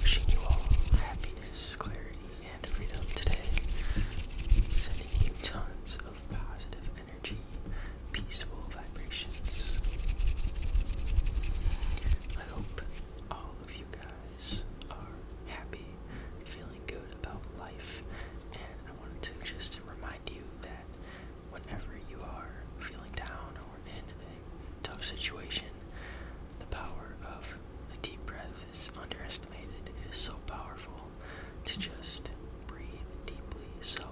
Wishing you all happiness, clarity, and freedom today. Sending you tons of positive energy, peaceful vibrations. I hope all of you guys are happy, feeling good about life, and I wanted to just remind you that whenever you are feeling down or in a tough situation, the power of a deep breath is underestimated. It is so powerful to just breathe deeply. So,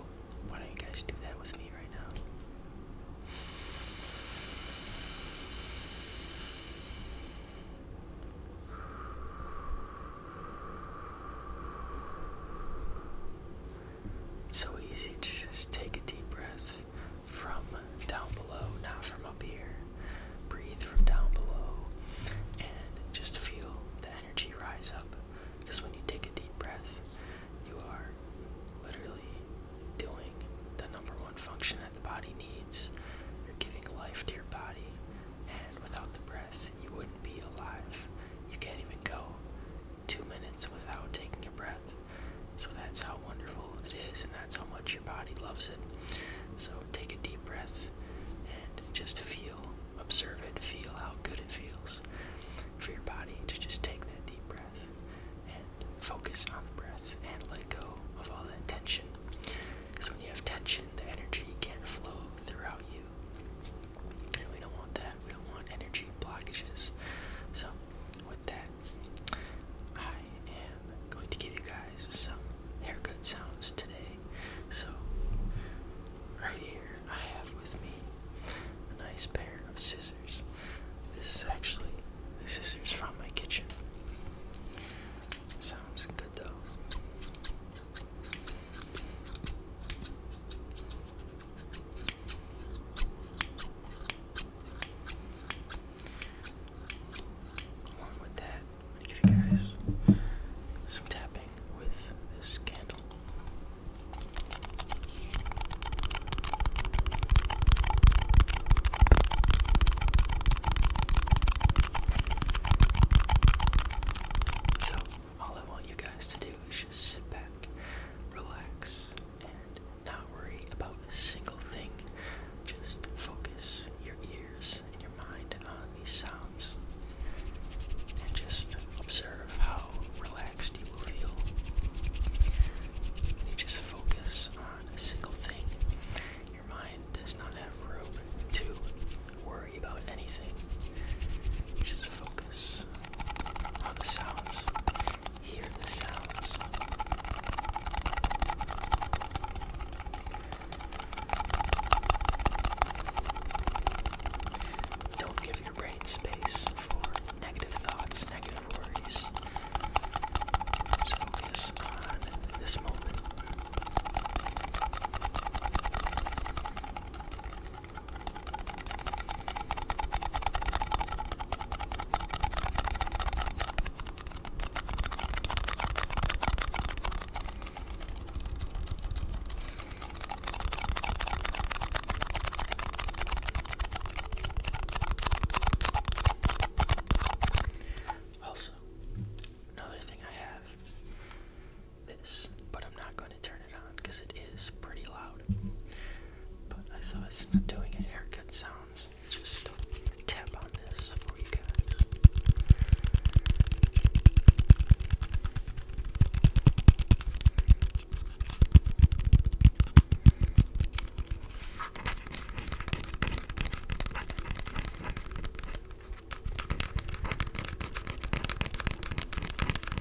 why don't you guys do that with me right now? So easy to just take a deep breath from down below, not from up here. Breathe from down below and just feel the energy rise up. Because when you take a deep breath, you are literally doing the number one function that the body needs. You're giving life to your body, and without the breath, you wouldn't be alive. You can't even go two minutes without taking a breath. So that's how wonderful it is, and that's how much your body loves it. So take a deep breath and just feel, observe it, feel how good it feels for your body to just take that deep breath and focus on the breath and let go of all that tension. Because when you have tension, the energy can't flow throughout you we don't want that. We don't want energy blockages. So, with that, I am going to give you guys some haircut sounds today. So, right here, I have with me a nice pair of scissors. This is actually the scissors from my kitchen. Sounds good though. Along with that, I'm give you guys some tapping with this candle. So, all I want you guys to do is just sit back, relax, and not worry about a single thing. Just focus your ears and your mind on these sounds and just observe how relaxed you will feel. When you just focus on a single thing, your mind does not have room to worry about anything. Just focus Hear the sounds. Don't give your brain space for negative thoughts, negative worries. Just focus on this moment. Also, another thing I have this, but I'm not going to turn it on because it is pretty loud. But I thought since I'm doing a haircut sounds, just tap on this for you guys.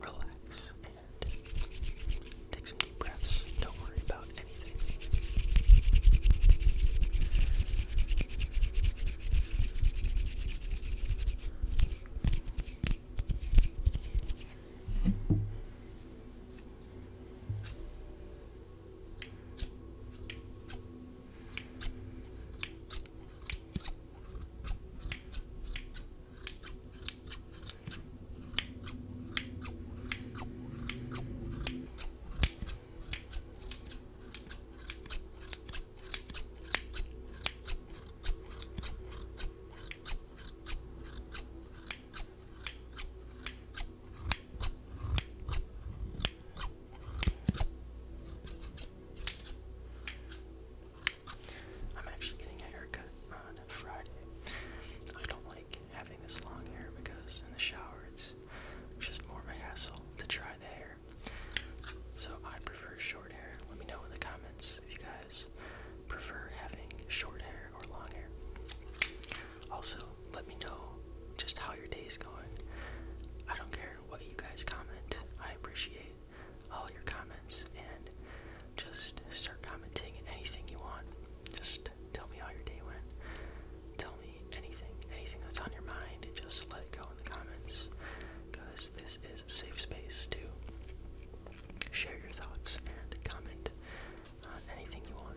relax, and take some deep breaths. Don't worry about anything. I'm actually getting a haircut uh, Friday. I don't like having this long hair because in the shower it's just more of a hassle to dry the hair. So I prefer short hair. Let me know in the comments if you guys prefer having short hair or long hair. Also, let me know just how your day is going. I don't care what you guys comment. I appreciate all your comments and just start commenting anything you want. Just tell me how your day went. Tell me anything, anything that's on your mind, just let it go in the comments. Because this is a safe space to share your thoughts and comment on anything you want.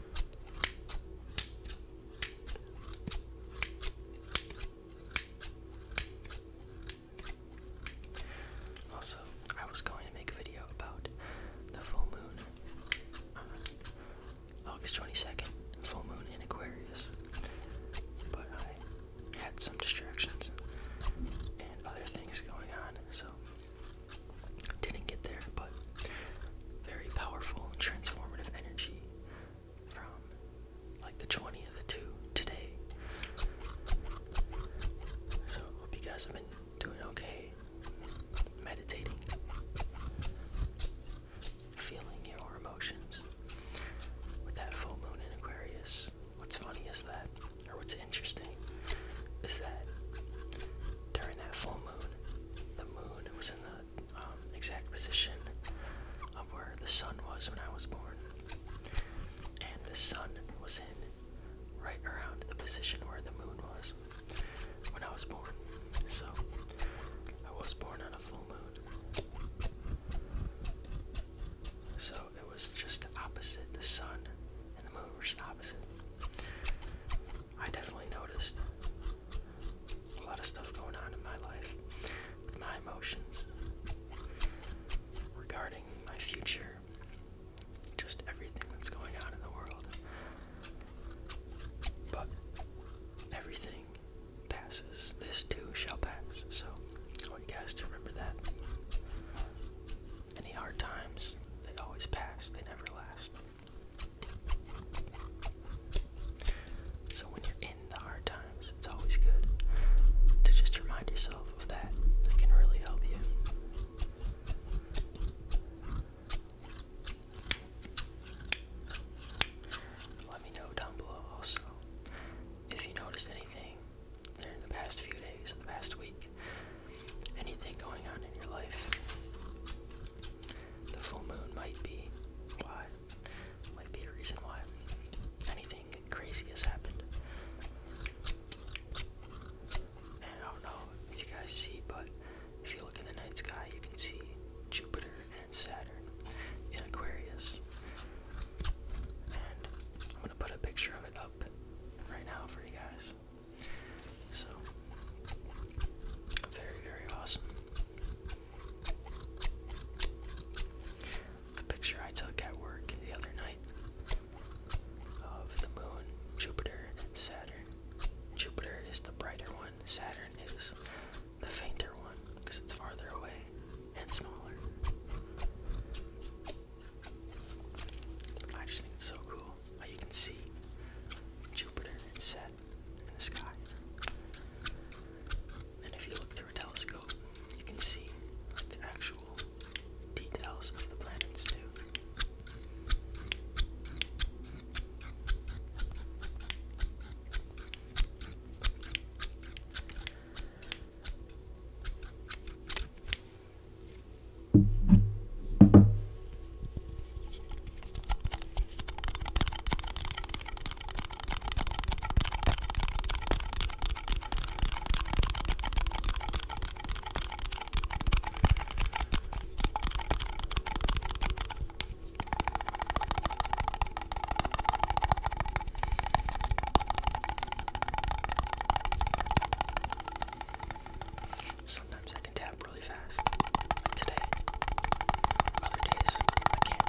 Also, I was going to make a video about the full moon. Uh, August 22nd, full moon in Aquarius. But I had some distractions and other things going on, so didn't get there, but very powerful, transformative energy from like the twenty of the two today. So, hope you guys have been doing okay, meditating, feeling your emotions. With that full moon in Aquarius, what's funny is that, or what's interesting, is that during that full moon, the moon was in the um, exact position of where the sun was when I was born. And the sun was in right around the position where the moon was when I was born. So I was born on a full moon. So it was just opposite. The sun and the moon were just opposite. I definitely noticed a lot of stuff going on in my life with my emotions regarding my future, just everything that's going on in the world. But everything passes, this too shall pass. So I want you guys to remember that. Any hard times, they always pass, they never last. So when you're in the hard times, it's always good to just remind yourself of that. That can really help you. Let me know down below also if you noticed anything during the past few days, the past week anything going on in your life. The full moon might be why, might be a reason why anything crazy has happened. I don't know if you guys see, but if you look in the night sky, you can see Jupiter and Saturn in Aquarius. And I'm gonna put a picture of it up right now for you guys. So, very, very awesome. The picture I took at work the other night of the moon, Jupiter, and Saturn. Jupiter is the brighter one, Saturn is the fainter one because it's farther away and smaller. I just think it's so cool you can see Jupiter and Saturn in the sky. And if you look through a telescope, you can see the actual details of the planets too. Sometimes I can tap really fast. Like today. Other days, I can't.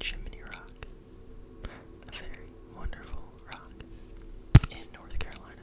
Chimney Rock, a very wonderful rock in North Carolina.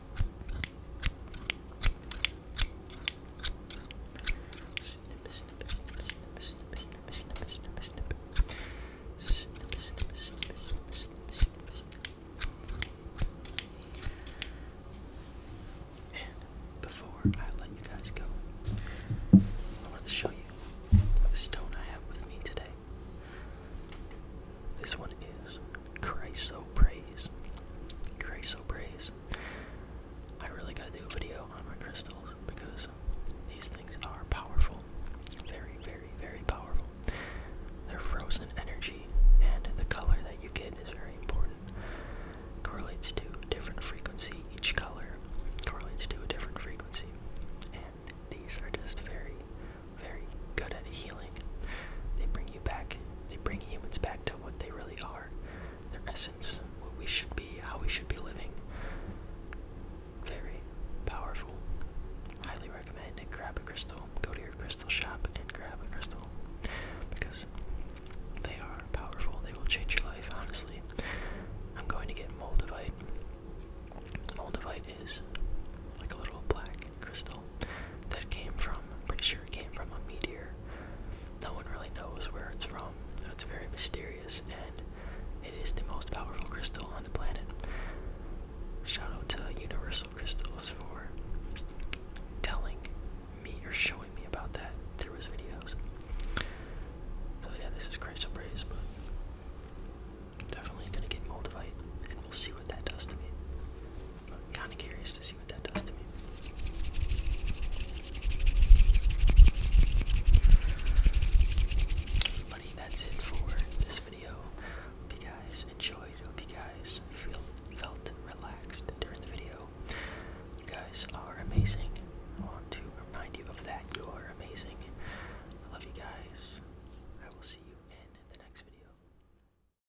before I let you guys go, I wanted to show you the stone I have with me today. This one is Chrysoprase. Chrysoprase. I really gotta do a video on my crystals because these things are powerful. Very, very, very powerful. They're frozen energy, and the color that you get is very important. Correlates to different frequency. Each color correlates to a different frequency. And these are just very, very good at healing. They bring you back. They bring humans back to what they really are, their essence, what we should be, how we should be living. Very powerful. Highly recommend it. Grab a crystal. Go to your crystal shop and grab a crystal because they are powerful. They will change your life, honestly. I'm going to get Moldavite. Moldavite is like a little black crystal that came from, I'm pretty sure it came from a meteor. No one really knows where it's from. It's very mysterious, and it is the most powerful crystal on the planet. Shout out to Universal Crystals for telling me or showing me about that through his videos. So yeah, this is Chrysoprase, but definitely gonna get Moldavite, and we'll see what that does to me. I'm kind of curious to see what that does to me. Buddy, that's it for this video. Hope you guys enjoyed. Hope you guys feel, felt relaxed during the video. You guys are amazing. I want to remind you of that. You are amazing. I love you guys. I will see you in the next video.